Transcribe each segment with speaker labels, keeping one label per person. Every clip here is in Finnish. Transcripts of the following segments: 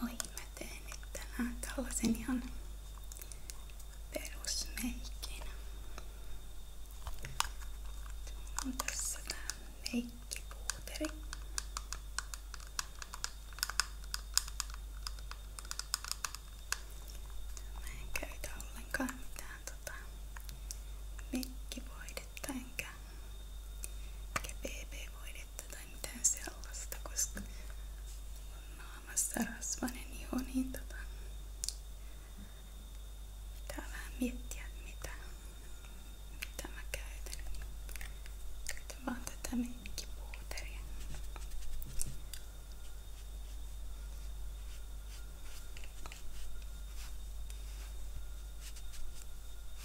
Speaker 1: Moi, mä tein nyt tänään tällaisen ihan perusmeikin. On tässä tää meikkipuuteri. Mä en käytä ollenkaan mitään tota meikkivoidetta vettä enkä, enkä BB-voidetta tai mitään sellaista, koska on naamassa rasvainen iho, niin tota, pitää vähän miettiä, mitä, mitä mä käytän. Käytän vaan tätä mikkipuuteria. Tää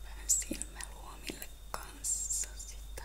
Speaker 1: Tämän silmäluomille kanssa sitä.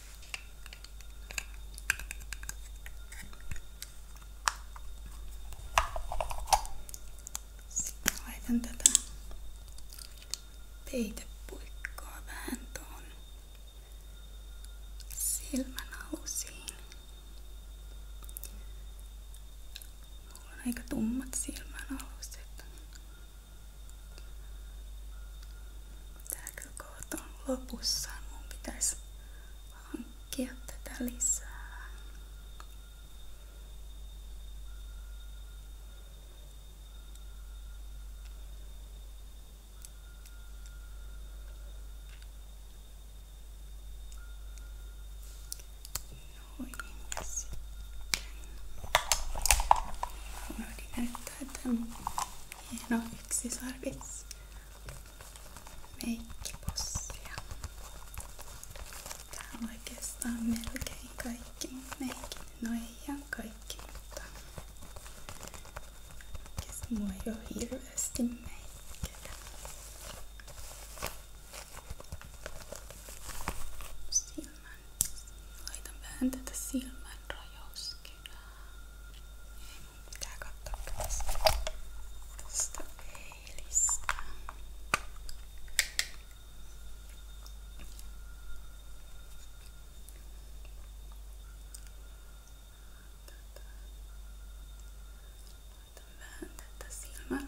Speaker 1: Sitten laitan tätä peitepuikkoa vähän tuohon silmän alusiin. Mulla on aika tummat silmän aluset. Täällä kohta on lopussa. Mun pitäisi hankkia tätä lisää. Noin, ja sitten unohdin näyttää tämän hieno yksisarvis meikkipossia. Täällä on oikeastaan melkein kaikki meikki. No ei ihan kaikki, mutta oikeastaan mua ei ole hirveästi meikkejä. Siltä Laitan vähän tätä silmän rajauskynää. Ei mun pitää tästä, tästä peilistä. Laitan vähän tätä silmän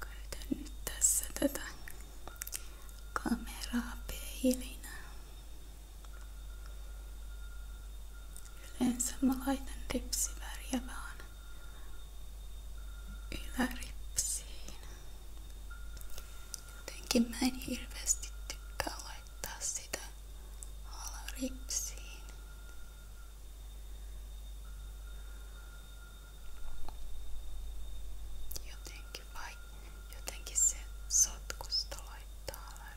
Speaker 1: Käytän nyt tässä tätä kameraa peilinä. Okei, Yleensä mä laitan ripsiväriä vaan yläripsiin. Jotenkin mä en hirveästi tykkää laittaa sitä alaripsiin. Jotenkin vai jotenkin se sotkusta laittaa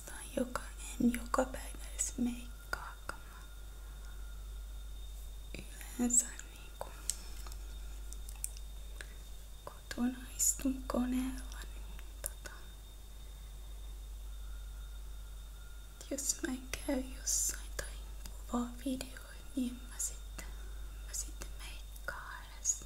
Speaker 1: oikeastaan joka, en joka päivä edes meikkaakaan. Yleensä niin kuin kotona istun koneella, niin tota, jos mä käy jossain tai kuvaa videoita, niin mä sitten, mä sitten meikkaan edes.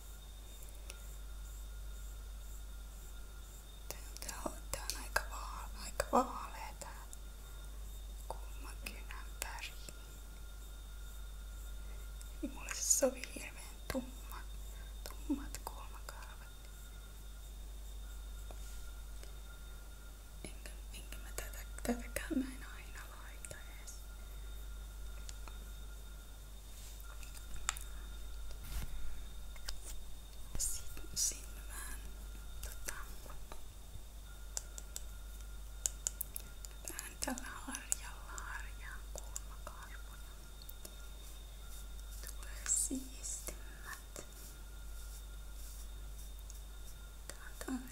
Speaker 1: Tää on, tää on aika, vaale, aika vaalea tää kulmakynän väri. Mulle se sovi hirveän tumma, tummat kulmakarvat. Enkä, enkä mä tätä, tätäkään mä en aina laita edes. Sitten sinne vähän tota, vähän tällä harjalla harjaa kulmakarvoja. Tulee siistimmät. Tää on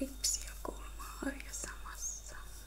Speaker 1: ripsi ja kulmaharja samassa.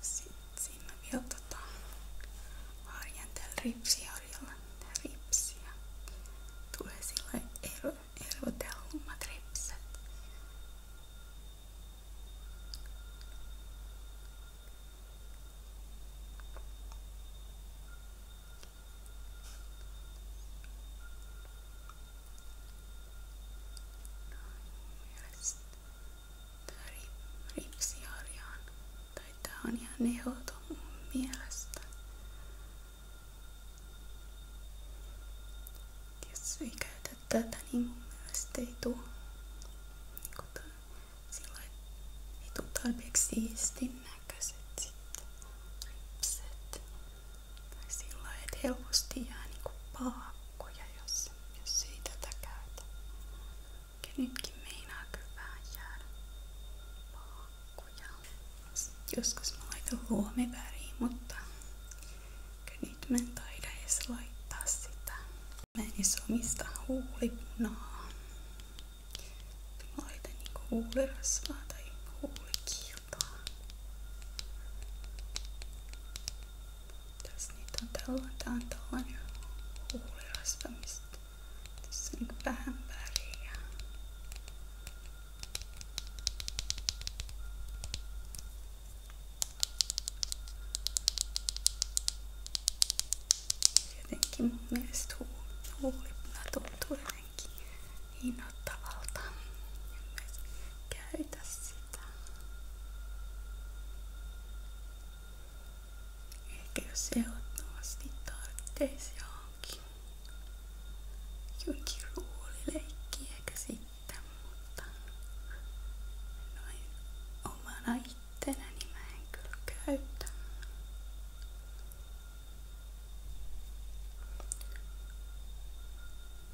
Speaker 1: Sitten siinä on vielä tota, harjan täällä ripsiharjalla. Tää ripsiä. Tulee sillä ero, erotelmat ripset ripsiharjaan. Tai tää on ihan nehoton mun mielestä. Jos ei käytä tätä, niin mun mielestä ei tuu. Niin Sillä ei tuu tarpeeksi siistin näköiset sitten ripset. Tai sillä että helposti jää niinku paakkoja, jos, jos ei meinaa kyllä vähän jäädä paakkoja. Joskus mä laitan luomiväriin, mutta nyt mä en taida edes laittaa sitä. Mä en edes omista huulipunaa. Mä laitan niinku huulirasvaa tai huulikiilua. Tässä niitä on tällä, tää on tällainen huulirasva, mistä tässä on vähän väriä. Jotenkin mun mielestä huulipuna tuntuu jotenkin innoittavalta. Käytä sitä. Ehkä jos ehdottomasti tarvitsisi johonkin, johonkin ruulileikkiä ehkä sitten, mutta noin omana ittenäni mä en kyllä käytä.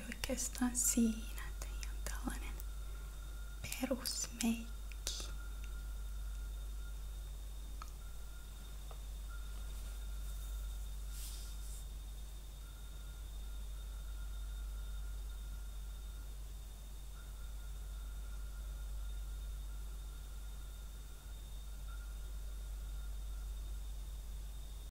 Speaker 1: oli oikeastaan siinä, että ihan tällainen perusmeikki.